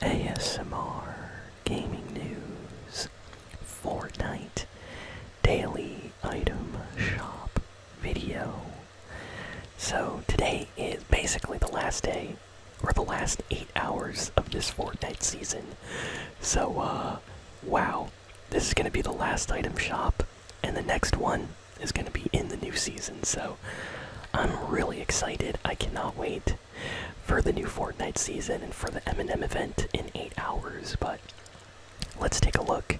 ASMR, gaming news, Fortnite, daily item shop video. So today is basically the last day or the last eight hours of this Fortnite season. So, uh, wow, this is gonna be the last item shop, and the next one is gonna be in the new season. So, I'm really excited. I cannot wait for the new Fortnite season and for the M&M event in 8 hours, but let's take a look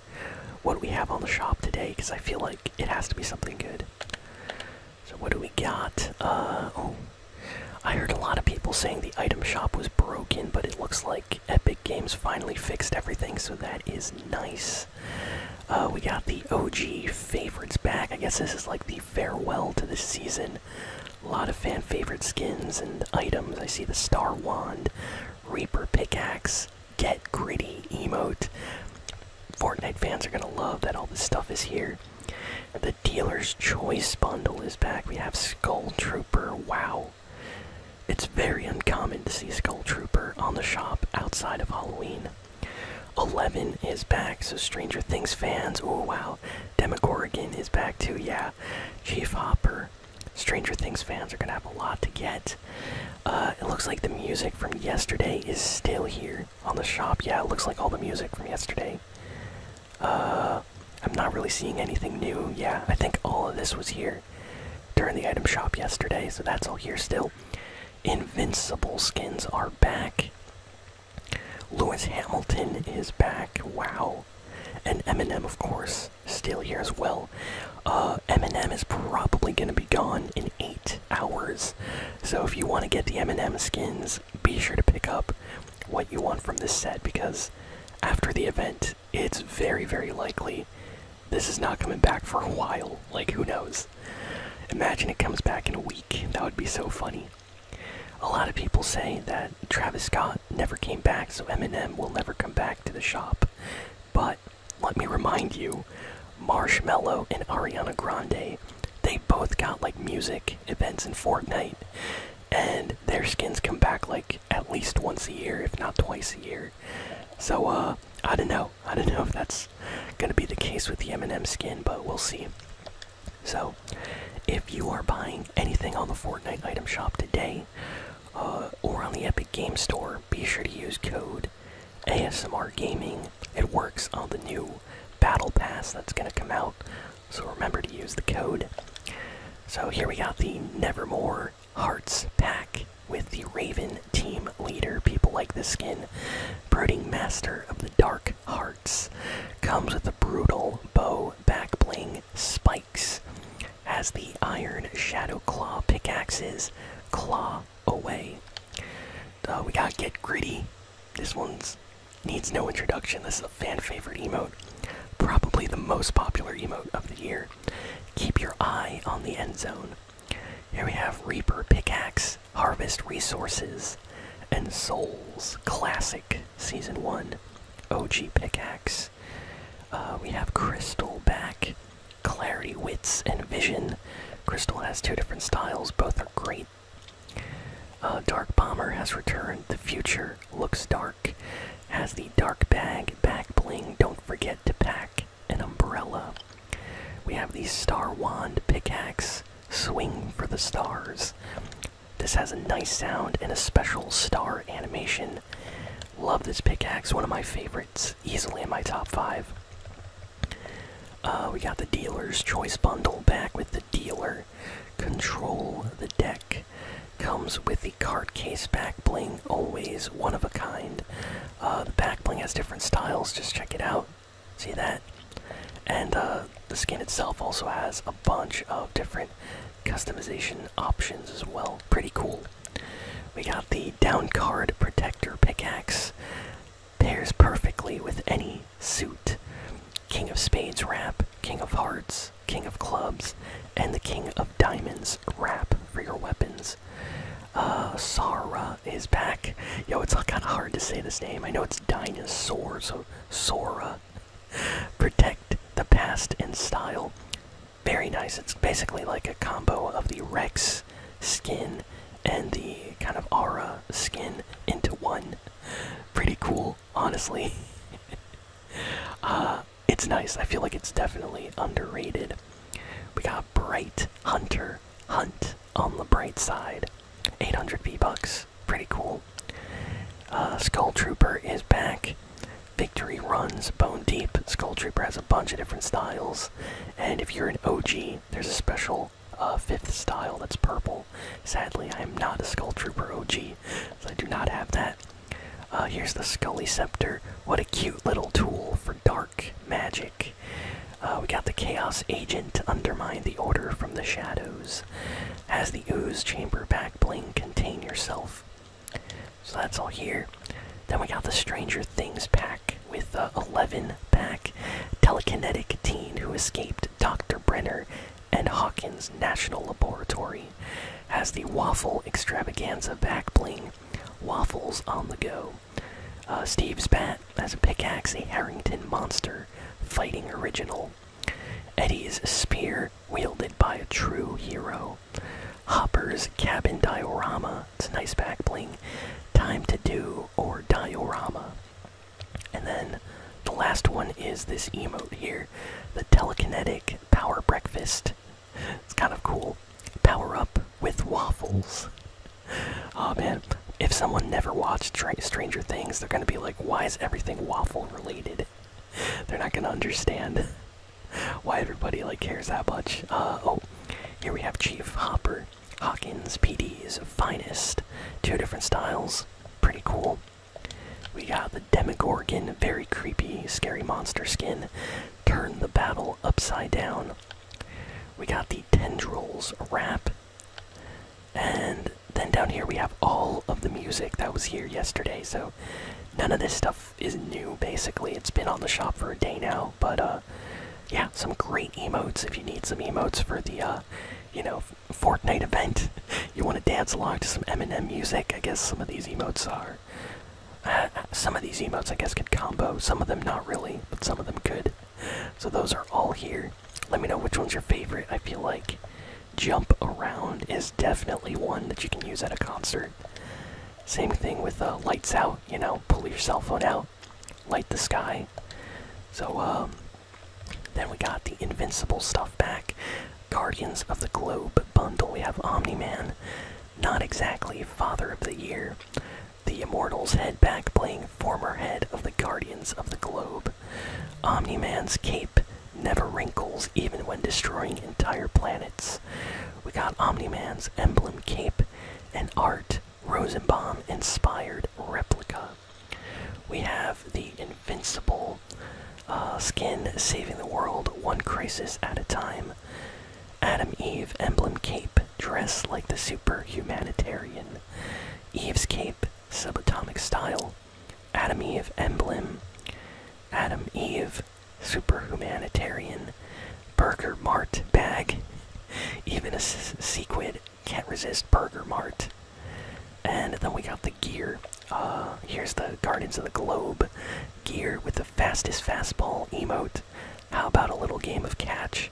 what we have on the shop today because I feel like it has to be something good. So what do we got? Uh, oh, I heard a lot of people saying the item shop was broken, but it looks like Epic Games finally fixed everything, so that is nice. Uh, we got the OG favorites back. I guess this is like the farewell to the season. A lot of fan favorite skins and items. I see the Star Wand, Reaper Pickaxe, Get Gritty emote. Fortnite fans are gonna love that all this stuff is here. The Dealer's Choice bundle is back. We have Skull Trooper. Wow. It's very uncommon to see Skull Trooper on the shop outside of Halloween. Eleven is back, so Stranger Things fans, oh wow. Demogorgon is back too, yeah. Chief Hopper, Stranger Things fans are gonna have a lot to get. Uh, it looks like the music from yesterday is still here on the shop. Yeah, it looks like all the music from yesterday. Uh, I'm not really seeing anything new. Yeah, I think all of this was here during the item shop yesterday, so that's all here still. Invincible skins are back. Lewis Hamilton is back. Wow. And Eminem, of course, still here as well. Uh, Eminem is probably going to be gone in eight hours. So if you want to get the Eminem skins, be sure to pick up what you want from this set because after the event, it's very, very likely this is not coming back for a while. Like, who knows? Imagine it comes back in a week. That would be so funny. A lot of people say that Travis Scott never came back, so Eminem will never come back to the shop. But let me remind you, Marshmello and Ariana Grande, they both got like music events in Fortnite, and their skins come back like at least once a year, if not twice a year. So uh, I don't know. I don't know if that's gonna be the case with the Eminem skin, but we'll see. So, if you are buying anything on the Fortnite item shop today uh, or on the Epic Game Store, be sure to use code ASMR Gaming. It works on the new Battle Pass that's going to come out, so remember to use the code. So, here we got the Nevermore Hearts pack with the Raven team leader. People like this skin. Brooding Master of the Dark hearts. Comes with a brutal bow back bling spikes. as the iron shadow claw pickaxes claw away. Uh, we gotta get gritty. This one's needs no introduction. This is a fan favorite emote. Probably the most popular emote of the year. Keep your eye on the end zone. Here we have Reaper Pickaxe Harvest Resources, and Souls Classic Season 1 OG Pickaxe. Uh, we have Crystal back, Clarity Wits, and Vision. Crystal has two different styles, both are great. Uh, dark Bomber has returned, The Future Looks Dark, has the Dark Bag, Back Bling, Don't Forget to Pack, an Umbrella. We have the Star Wand Pickaxe, Swing for the Stars. This has a nice sound and a special star animation. Love this pickaxe, one of my favorites, easily in my top five. Uh, we got the Dealer's Choice Bundle back with the Dealer. Control the deck. Comes with the card case back bling, always one of a kind. Uh, the back bling has different styles, just check it out. See that? And uh, the skin itself also has a bunch of different customization options as well. Pretty cool. We got the down card protector pickaxe. Pairs perfectly with any suit. King of Spades wrap, King of Hearts, King of Clubs, and the King of Diamonds wrap for your weapons. Uh, Sara uh, his pack. Yo, it's kind of hard to say this name. I know it's dinosaur, so Sora. Protect the past and style. Very nice. It's basically like a combo of the Rex skin and the kind of aura skin into one. Pretty cool, honestly. uh, it's nice. I feel like it's definitely underrated. We got Bright Hunter Hunt on the bright side. 800 V-Bucks, pretty cool. Uh, Skull Trooper is back. Victory runs bone deep. Skull Trooper has a bunch of different styles, and if you're an OG, there's a special uh, fifth style that's purple. Sadly, I am not a Skull Trooper OG, so I do not have that. Uh, here's the Scully Scepter. What a cute little tool for dark magic. Uh, we got the Chaos Agent to undermine the Order from the Shadows. as the Ooze Chamber back bling contain yourself. So that's all here. Then we got the Stranger Things pack with the uh, 11 pack telekinetic teen who escaped Dr. Brenner and Hawkins National Laboratory. as the Waffle Extravaganza back bling. Waffles on the go. Uh, Steve's bat has a pickaxe, a Harrington monster fighting original. Eddie's spear wielded by a true hero. Hopper's cabin diorama. It's a nice back bling. Time to do or diorama. And then the last one is this emote here, the telekinetic power breakfast. It's kind of cool. Power up with waffles oh man, if someone never watched Stranger Things, they're gonna be like, why is everything waffle related? they're not gonna understand why everybody like cares that much. Uh, oh, here we have Chief Hopper, Hawkins PD's finest, two different styles, pretty cool. We got the Demogorgon, very creepy, scary monster skin. Turn the battle upside down. We got the Tendrils wrap, and then down here we have all of the music that was here yesterday. So none of this stuff is new basically. It's been on the shop for a day now, but uh, yeah, some great emotes if you need some emotes for the uh, you know, Fortnite event. you want to dance along to some Eminem music. I guess some of these emotes are uh, some of these emotes I guess could combo. Some of them not really, but some of them could so those are all here. Let me know which one's your favorite. I feel like jump around is definitely one that you can use at a concert. Same thing with uh, lights out. You know, pull your cell phone out, light the sky. So um, then we got the invincible stuff back. Guardians of the Globe bundle. We have Omni Man. Not exactly Father of the Year. The Immortals head back, playing former head of the Guardians of the Globe. Omni Man's cape never wrinkles, even when destroying entire planets. We got Omni Man's emblem cape an art Rosenbaum inspired replica. We have the Invincible uh, skin saving the world one crisis at a time. Adam Eve emblem cape dress like the superhumanitarian, humanitarian. Eve's cape, subatomic style. Adam of emblem. Adam Eve, superhumanitarian, humanitarian. Burger Mart bag. Even a squid can't resist Burger Mart. And then we got the gear. Uh, here's the Guardians of the Globe gear with the fastest fastball emote. How about a little game of catch?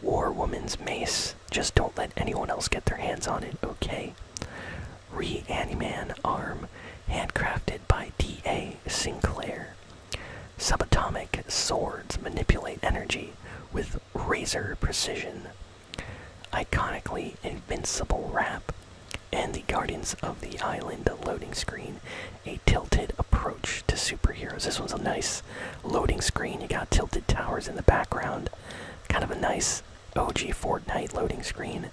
War Woman's Mace. Just don't let anyone else get their hands on it, okay? Reaniman Arm. Handcrafted by D.A. Sinclair. Subatomic Swords. Manipulate energy with razor precision. Iconically Invincible Wrap. And the Guardians of the Island loading screen. A tilted approach to superheroes. This one's a nice loading screen. You got tilted towers in the background. Kind of a nice OG Fortnite loading screen.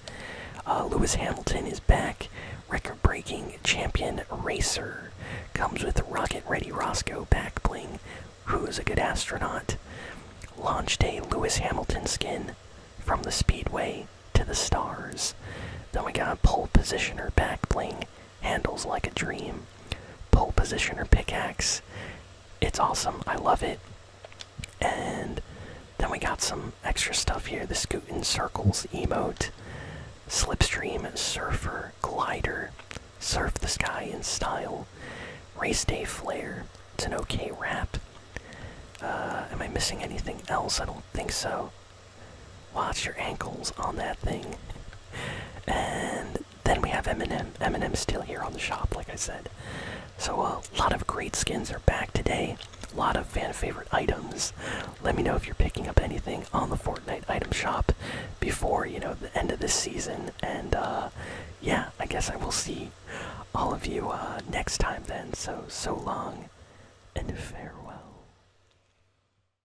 Uh, Lewis Hamilton is back. Record breaking champion racer. Comes with Rocket Ready Roscoe back bling. Who is a good astronaut? Launched a Lewis Hamilton skin from the speedway to the stars. Then we got pole positioner back bling handles like a dream, pole position or pickaxe. It's awesome. I love it. And then we got some extra stuff here: the scoot in circles emote, slipstream surfer glider, surf the sky in style, race day flare. It's an okay wrap. Uh, am I missing anything else? I don't think so. Watch your ankles on that thing. and then we have Eminem. Eminem's still here on the shop, like I said. So a uh, lot of great skins are back today. A lot of fan favorite items. Let me know if you're picking up anything on the Fortnite item shop before you know the end of this season. And uh, yeah, I guess I will see all of you uh, next time then. So so long, and farewell.